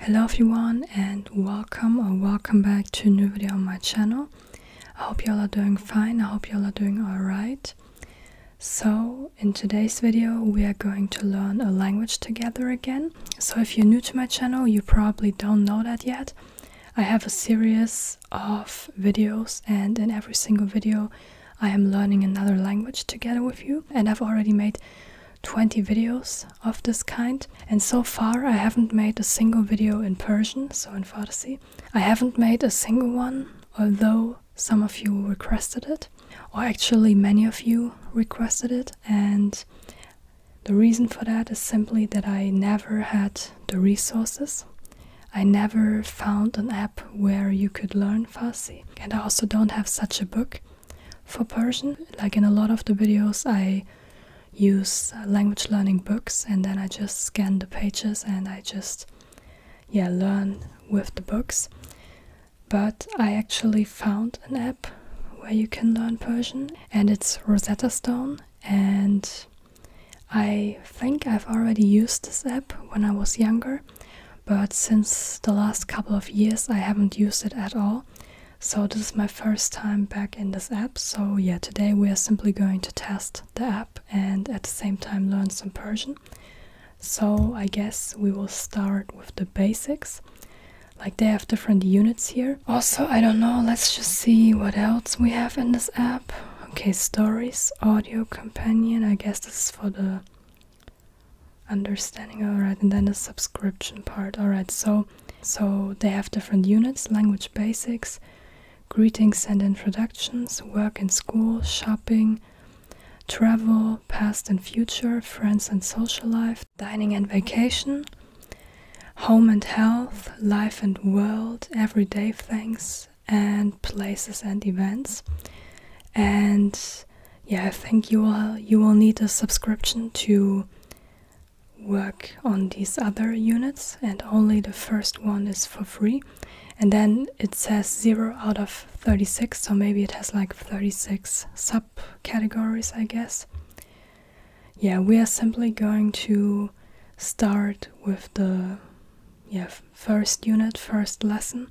Hello everyone and welcome or welcome back to a new video on my channel. I hope y'all are doing fine, I hope y'all are doing alright. So in today's video we are going to learn a language together again. So if you're new to my channel you probably don't know that yet. I have a series of videos and in every single video I am learning another language together with you and I've already made 20 videos of this kind, and so far I haven't made a single video in Persian, so in Farsi. I haven't made a single one, although some of you requested it, or actually, many of you requested it, and the reason for that is simply that I never had the resources. I never found an app where you could learn Farsi, and I also don't have such a book. For Persian, like in a lot of the videos, I use uh, language learning books and then I just scan the pages and I just yeah, learn with the books. But I actually found an app where you can learn Persian and it's Rosetta Stone and I think I've already used this app when I was younger, but since the last couple of years I haven't used it at all. So this is my first time back in this app. So yeah, today we are simply going to test the app and at the same time learn some Persian. So I guess we will start with the basics. Like they have different units here. Also, I don't know, let's just see what else we have in this app. Okay, stories, audio companion. I guess this is for the understanding all right and then the subscription part all right so so they have different units language basics greetings and introductions work and school shopping travel past and future friends and social life dining and vacation home and health life and world everyday things and places and events and yeah i think you will you will need a subscription to work on these other units and only the first one is for free and then it says 0 out of 36 so maybe it has like 36 subcategories i guess yeah we are simply going to start with the yeah first unit first lesson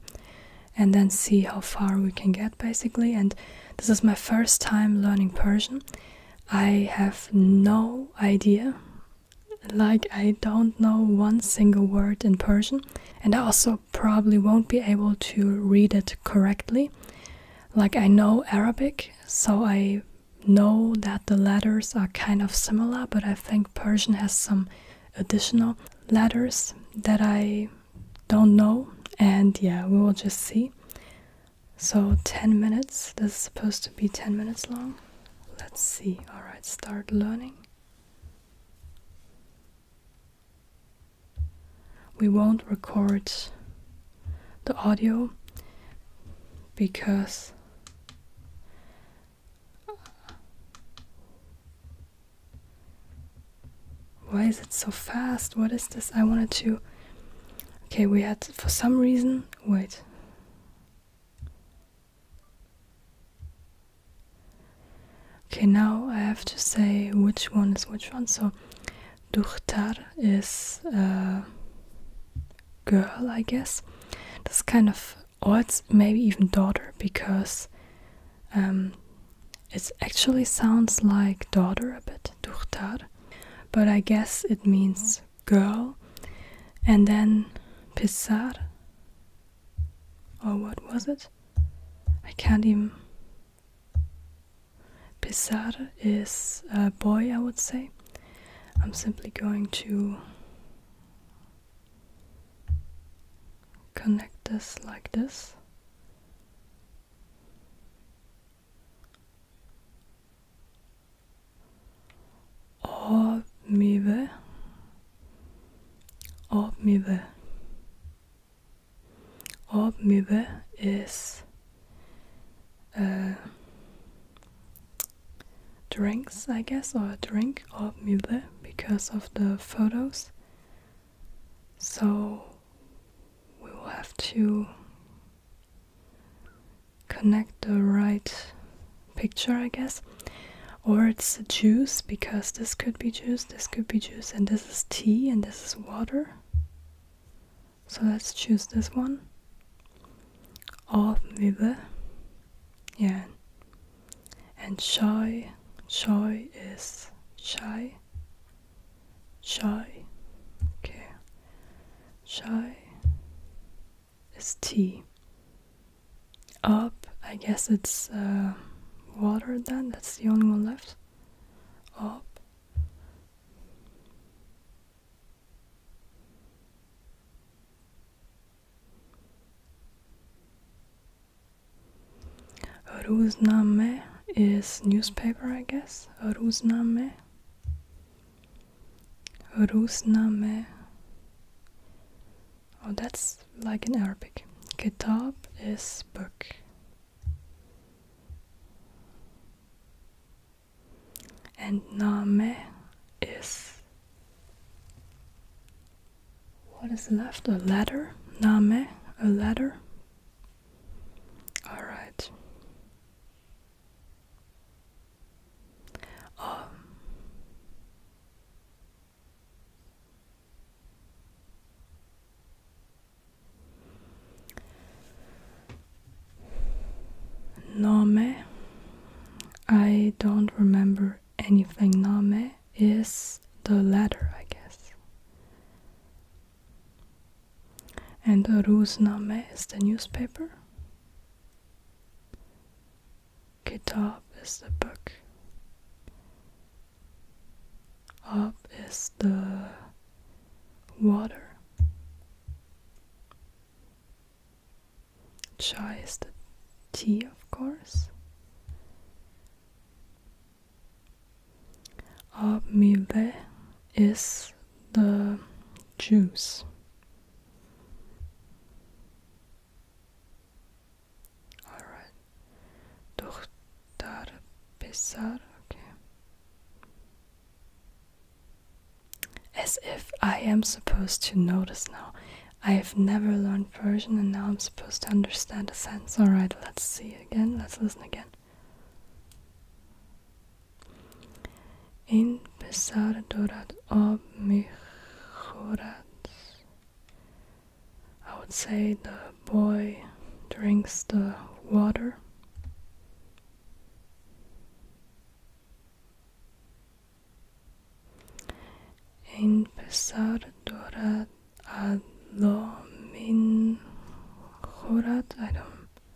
and then see how far we can get basically, and this is my first time learning Persian. I have no idea. Like, I don't know one single word in Persian, and I also probably won't be able to read it correctly. Like, I know Arabic, so I know that the letters are kind of similar, but I think Persian has some additional letters that I don't know, and yeah, we will just see. So 10 minutes, this is supposed to be 10 minutes long. Let's see, alright, start learning. We won't record the audio because why is it so fast? What is this? I wanted to. Okay, we had for some reason. Wait. Okay, now I have to say which one is which one. So, Duchtar is uh, girl, I guess. That's kind of, odd. maybe even daughter, because um, it actually sounds like daughter a bit, Duhtar, but I guess it means girl. And then Pisar, or what was it? I can't even. Pisar is a boy, I would say. I'm simply going to connect this like this. Avmyve. Avmyve. Avmyve is uh, drinks, I guess, or a drink of Mühle because of the photos. So we will have to connect the right picture, I guess. Or it's juice because this could be juice, this could be juice, and this is tea, and this is water. So let's choose this one. Avmibe. Yeah. And chai. Chai is chai. Shy. Okay. Shy is tea. Up, I guess it's uh, water then. That's the only one left. Up. Ruzname is newspaper, I guess. Ruzname. Různame, name. Oh, that's like in Arabic. Kitab is book. And name is what is left? A letter? Name? A letter? Alright. Um, Name, I don't remember anything. Name is the letter, I guess. And rose? Name is the newspaper. Kitab is the book. Ab is the water. Chai is the tea, of course of milbe is the juice. Alright. Dohtar Pesar, okay. As if I am supposed to notice now. I've never learned Persian and now I'm supposed to understand the sense. Alright, let's see again. Let's listen again. این پسر دارد آب میخورد I would say the boy drinks the water این پسر دارد ادلا میخورد I don't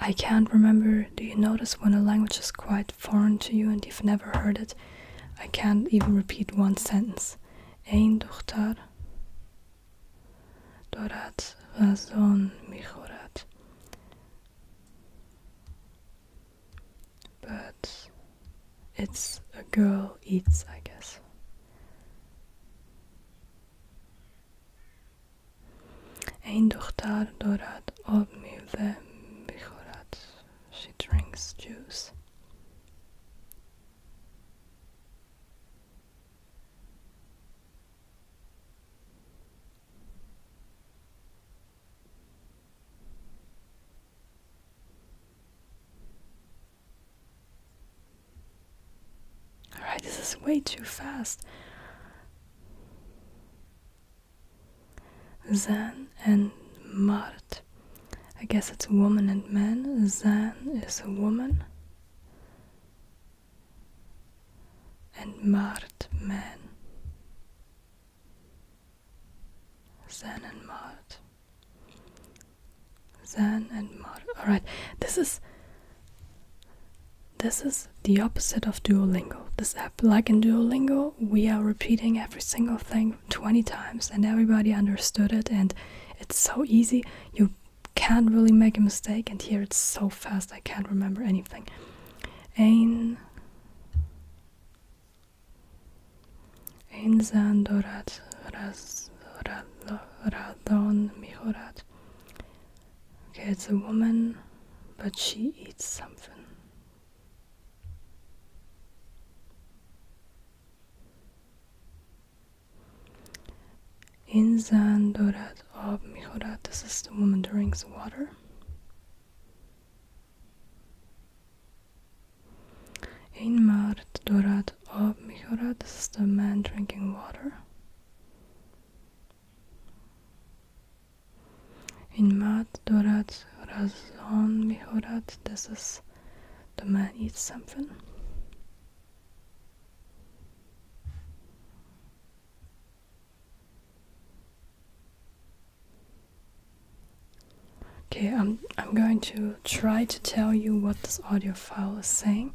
I can't remember. Do you notice when a language is quite foreign to you and you've never heard it? I can't even repeat one sentence. Ein dohtar dorat razon mihorat. But it's a girl eats, I guess. Ein Tochter dorat od miłde bichorat. She drinks juice. Alright, this is way too fast. Zan and Mart. I guess it's woman and man. Zan is a woman. And Mart, man. Zan and Mart. Zan and Mart. Alright, this is. This is the opposite of Duolingo. This app, like in Duolingo, we are repeating every single thing 20 times and everybody understood it and it's so easy. You can't really make a mistake and here it's so fast I can't remember anything. Ein Einsan Dorat Radon Mihorat Okay, it's a woman, but she eats something. Insan Dorat of Mihorat, this is the woman drinking drinks water. Inmart Dorat of Mihorat, this is the man drinking water. Une mat dorad razon mihorat. This is the man eats something. Okay, I'm I'm going to try to tell you what this audio file is saying.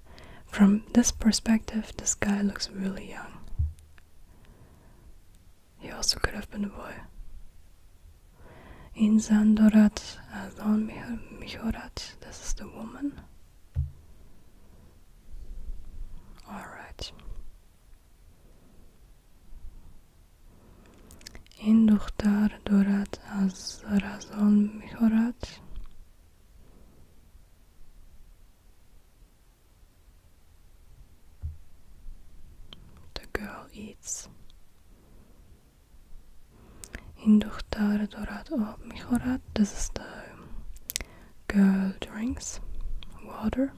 from this perspective, this guy looks really young. He also could have been a boy. In zandorat Dorat on Mihorat, this is the woman. Alright. این دختر دارد از رزان میخورد the girl eats. این دختر دارد آب میخورد. This is the girl drinks water.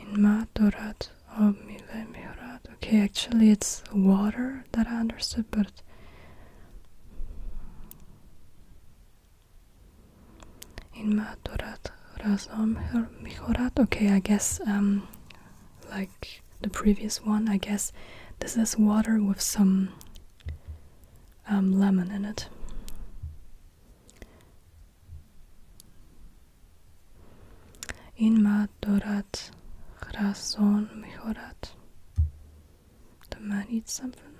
In مرد دارد of um, Milemirat. Okay, actually it's water that I understood, but in Maturat Razom Mihorat. Okay, I guess um like the previous one, I guess this is water with some um, lemon in it. این ما دارد غرسان میخورد Do man eat something?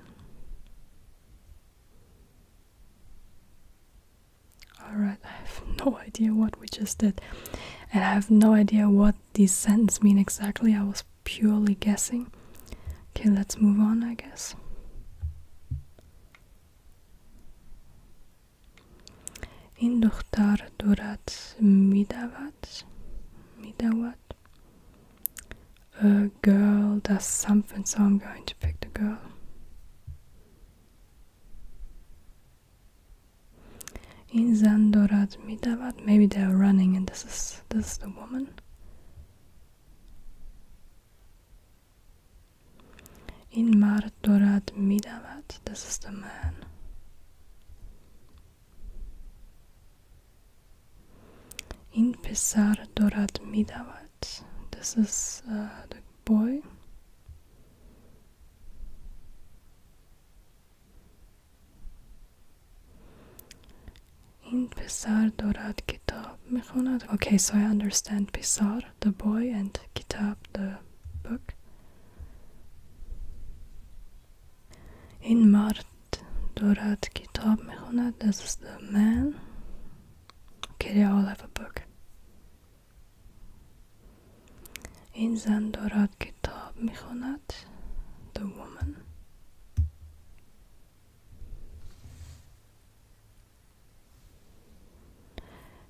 Alright, I have no idea what we just did. And I have no idea what these sentences mean exactly. I was purely guessing. Okay, let's move on, I guess. In دختر دارد میدود میدود a girl does something so I'm going to pick the girl In زن دارد میدود maybe they are running and this is, this is the woman In مرد Arturad Midavat. This is the man. pizar Dorad Midavat. This uh, is the boy. In pizar Dorad Kitab Mechonad. Okay, so I understand pizar the boy, and Kitab, the book. این مرد دارد کتاب میخواند This is the man Okay, I'll have این زن دارد کتاب میخواند The woman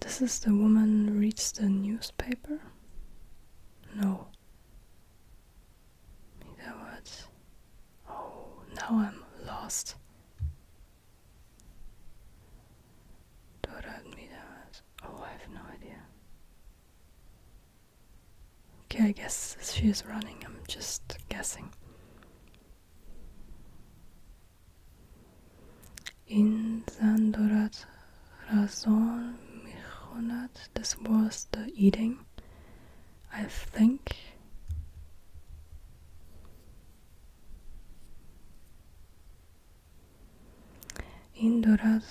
This is the woman reads the newspaper? No. That was. Oh, now I'm lost. Oh, I have no idea. Okay, I guess she is running. I'm just guessing. این زن دارد رزان میخواند This was the eating I think این دارد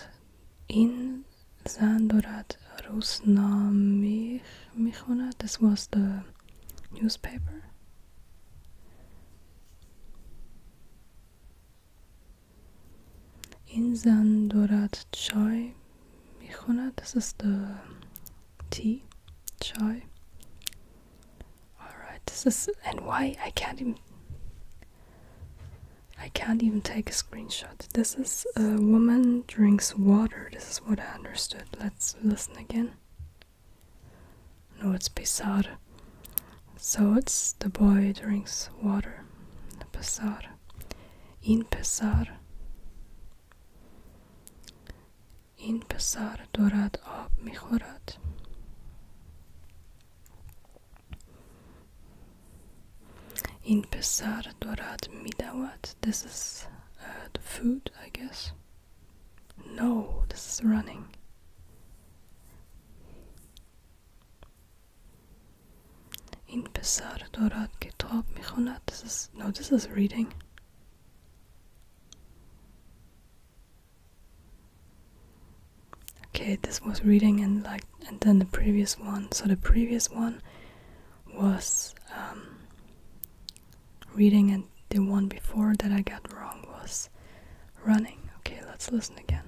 این زن دارد روزنامه میخواند This was the newspaper این زن دارد چای میخوند This is the tea, chai Alright, this is, and why I can't even I can't even take a screenshot. This is a woman drinks water. This is what I understood. Let's listen again. No, it's pesar. So it's the boy drinks water. Pesar. In pesar. In pesar dorad ab mijorat. In pesar dorad midawat. This is uh, the food, I guess. No, this is running. این پسر دارد کتاب میخواند no this is reading okay this was reading and like and then the previous one so the previous one was um, reading and the one before that I got wrong was running okay let's listen again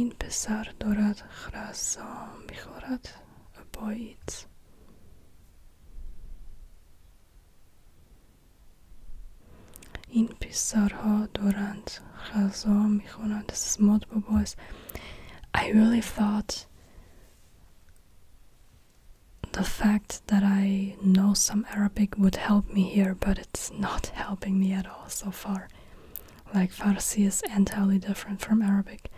In پسر دارد خرسام میخورد a boy eats این پسرها دارند غذا میخورند This is multiple boys I really thought the fact that I know some Arabic would help me here, but it's not helping me at all so far. Like Farsi is entirely different from Arabic.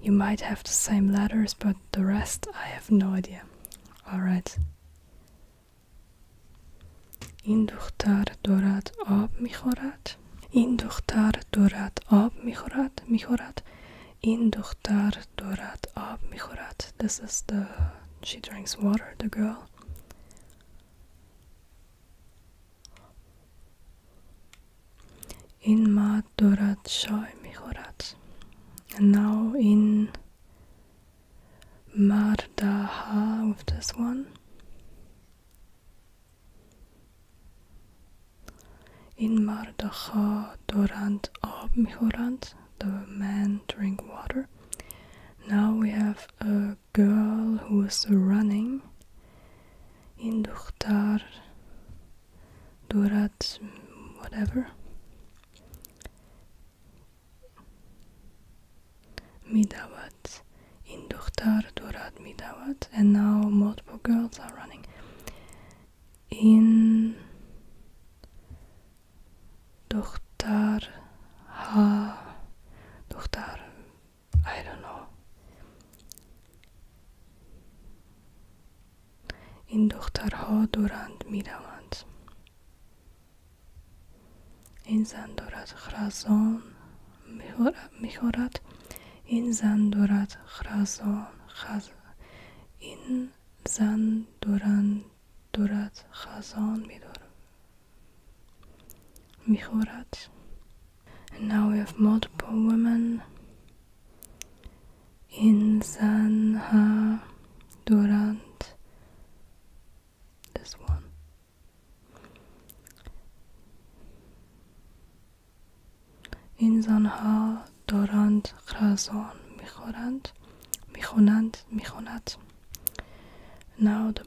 You might have the same letters, but the rest I have no idea. Alright. In دختر dorat ab میخورد In دختر dorat ab میخورد میخورد In دختر dorat ab میخورد This is the she drinks water the girl in ما دورات شای میخورد now in Mardaha with this one in Mardaha Dorant Ob Mihorant the man drink water now we have a girl who was running in Duhtar Durat whatever Midawat in Duhtar Durat Midawat and now multiple girls are running in Dochter ha dochter I don't know. این دخترها دورند می روند. این زن دارد خرزان می خورد. این زن دارد خرزان خز این زن دورند دارد خزان می دارد. Mihurat. And now we have multiple women. Insanha Durant. This one. Insanha Durant Khrazon Mihurat. Michonant, Michonat. Now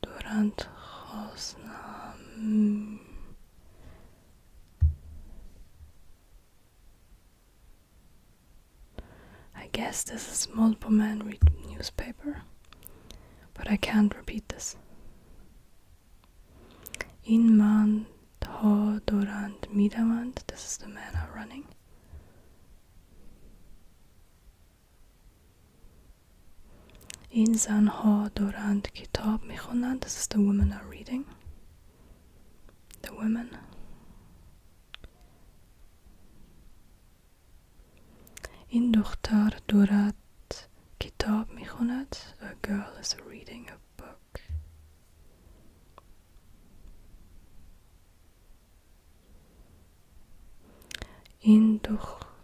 durant Hosnam. I guess this is multiple men read newspaper, but I can't repeat this. In man to durant midamant, this is the men are running. این ها دارند کتاب می خوانند This is the women are reading The women این دختر دارد کتاب می خوند. A girl is reading a book این دختر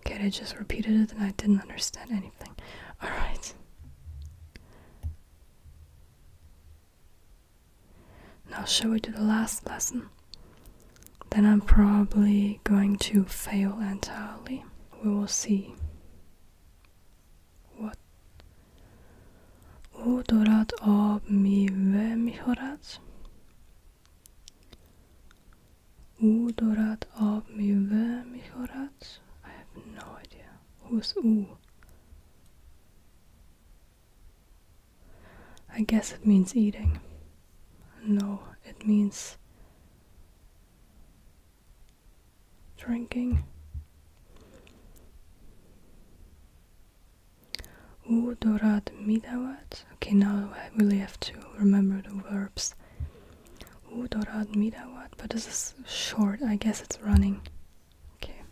Okay, I just repeated it and I didn't understand anything. Alright. Now, shall we do the last lesson? Then I'm probably going to fail entirely. We will see. What? او دورت آب میوه میخورد Odorat av mivemihorat? I have no idea. Who's U? I guess it means eating. No, it means drinking. Udorat midawat. Okay, now I really have to remember the verbs. Udorad Midawat, but this is short, I guess it's running. Okay.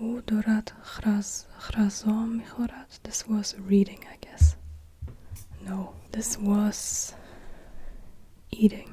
Udorad Chrazom Michorat, this was reading, I guess. No, this was eating.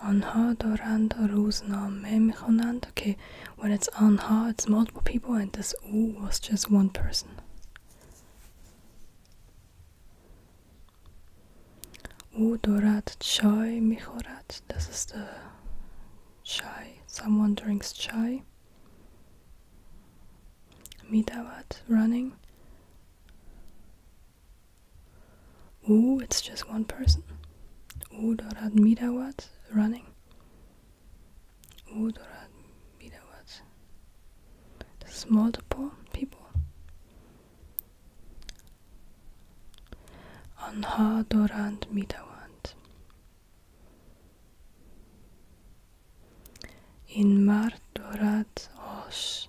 On آنها دارند روزنامه میخونند okay when it's on آنها it's multiple people and this O was just one person او دارد چای میخورد this is the chai someone drinks chai میدود running Oh, it's just one person. Odorat Midawat running. Odorat Midawat. This is multiple people. Anha Dorand Midawant. In Mar Dorat os.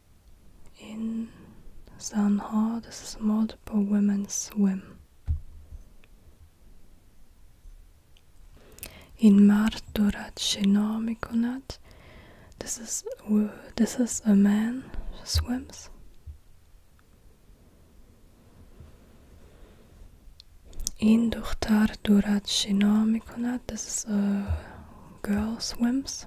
in Sanha, this is multiple women swim. In Mardurat Shina Mikonat, this is this is a man swims. In Duhtar Durat Shina Mikonat, this is a girl swims.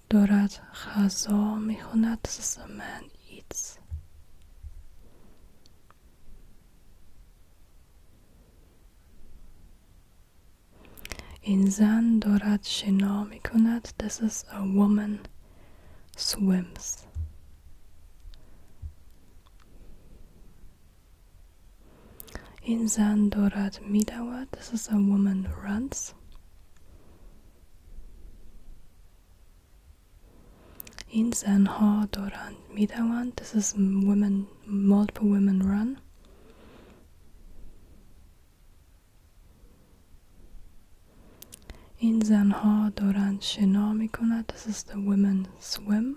دارد غذا میخواند زمن eats این زن دارد شنا میکند This is a woman swims این زن دارد میدود This is a woman runs in Insan har Doran Midawan. This is women, multiple women run. این زنها دارند شنا می کند. This is the women swim.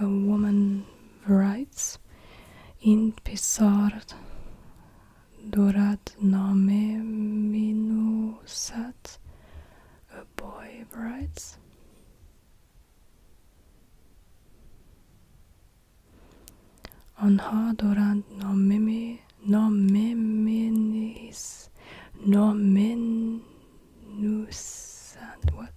a woman writes in pisar durat name minusat a boy writes آنها دارند ناممی ناممینیس نامنوسند what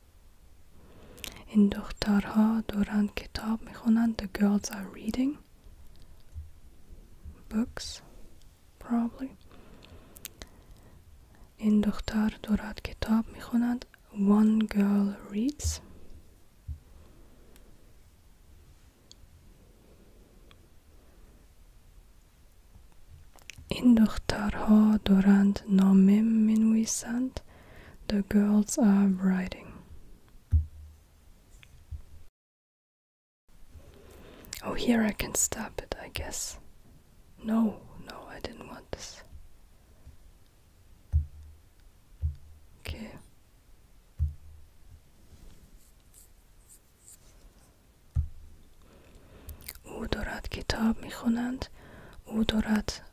این دخترها دوران کتاب میخونند. The girls are reading books probably این دختر دوران کتاب میخونند One girl reads این دخترها دورند نامه منویسند. the girls are riding. Oh, here I can stop it, I guess. No, no, I didn't want this. Okay. او دارد کتاب میخونند او دارد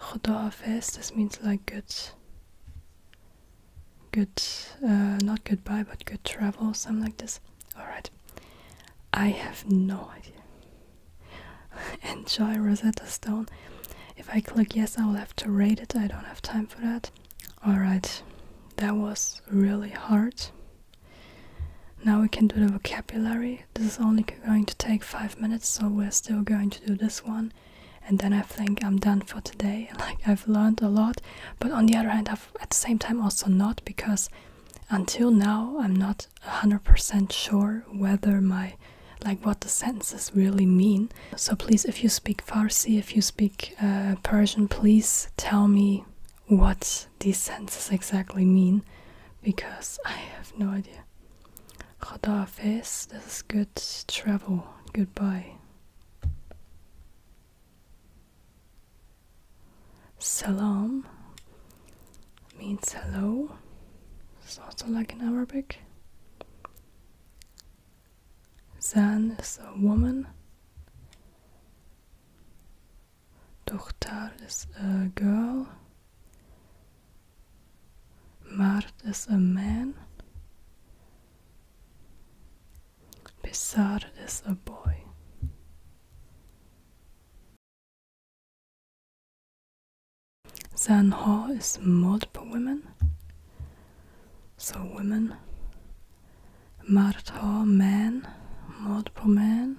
Khodafes, this means like good, good, uh, not goodbye, but good travel, something like this. Alright, I have no idea. Enjoy Rosetta Stone. If I click yes, I will have to rate it. I don't have time for that. Alright, that was really hard. Now we can do the vocabulary this is only going to take 5 minutes, so we're still going to do this one. And then I think I'm done for today. Like, I've learned a lot, but on the other hand, I've at the same time also not because until now I'm not 100% sure whether my like what the sentences really mean. So please, if you speak Farsi, if you speak uh, Persian, please tell me what these sentences exactly mean because I have no idea. Khadafis, this is good travel. Goodbye. Salam means hello. It's also like in Arabic. Zan is a woman. Dokhtar is a girl. Mard is a man. Bizarre is a boy. Zanho is multiple women. So women. Martho man, multiple men.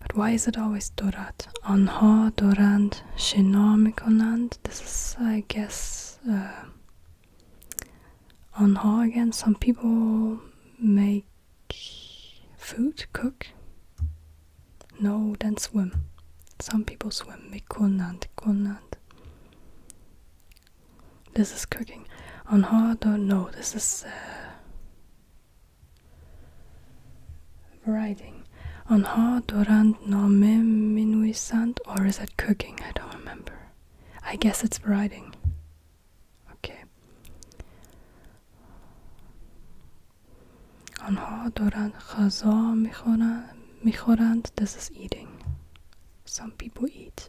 But why is it always Dorad? Anha, Dorand, Shinamikonand. This is, I guess, uh, Anha again. Some people make food, cook. No, then swim. Some people swim. Mikonand, Konand. This is cooking. Anha, don't know. This is. Uh, Writing. Anha Dorand Name Minuisant, or is that cooking? I don't remember. I guess it's writing. Okay. آنها دوران غذا میخورند میخورند this is eating some people eat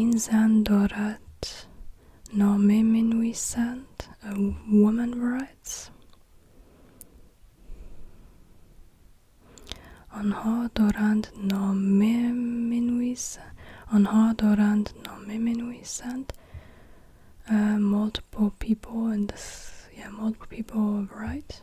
In Zandorat, Norme Menuisant, a woman writes آنها دارند نامه منویسند آنها دارند نامه منویسند uh, multiple people and yeah multiple people write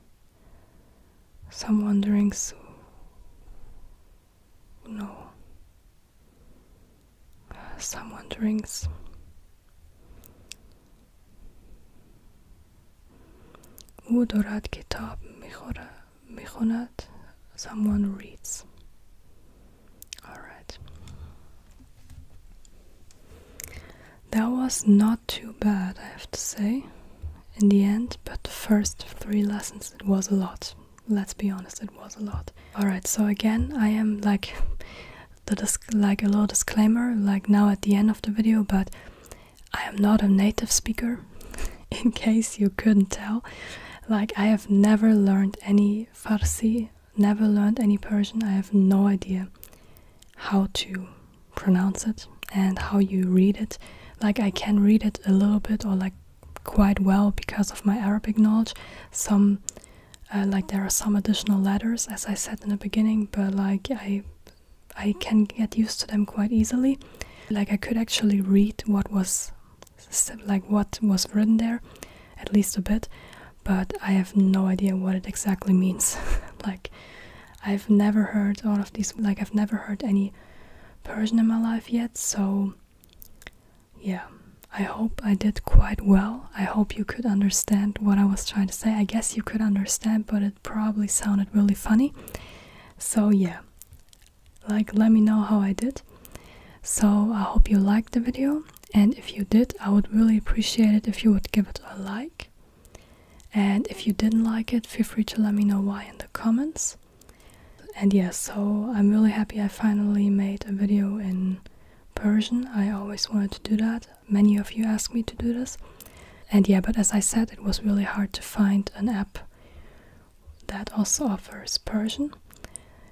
Someone drinks. no some wanderings او دارد کتاب میخواند someone reads all right that was not too bad, I have to say, in the end, but the first three lessons, it was a lot. Let's be honest, it was a lot. Alright, so again, I am like the like a little disclaimer, like now at the end of the video, but I am not a native speaker, in case you couldn't tell. Like, I have never learned any Farsi, never learned any Persian, I have no idea how to pronounce it and how you read it. Like, I can read it a little bit or like quite well because of my Arabic knowledge. Some, uh, like, there are some additional letters, as I said in the beginning, but like, I, I can get used to them quite easily. Like, I could actually read what was, like, what was written there, at least a bit, but I have no idea what it exactly means. like, I've never heard all of these, like, I've never heard any Persian in my life yet, so yeah, I hope I did quite well. I hope you could understand what I was trying to say. I guess you could understand, but it probably sounded really funny. So, yeah, like, let me know how I did. So, I hope you liked the video, and if you did, I would really appreciate it if you would give it a like. And if you didn't like it, feel free to let me know why in the comments. And yeah, so I'm really happy I finally made a video in Persian. I always wanted to do that. Many of you asked me to do this. And yeah, but as I said, it was really hard to find an app that also offers Persian.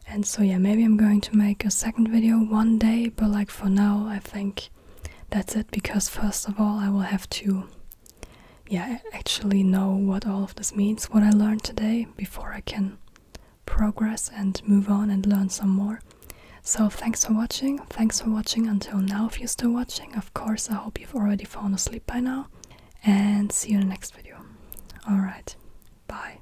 And so yeah, maybe I'm going to make a second video one day, but like for now, I think that's it because first of all I will have to yeah actually know what all of this means what I learned today before I can progress and move on and learn some more. So thanks for watching. Thanks for watching until now if you're still watching. Of course I hope you've already fallen asleep by now and see you in the next video. All right. Bye.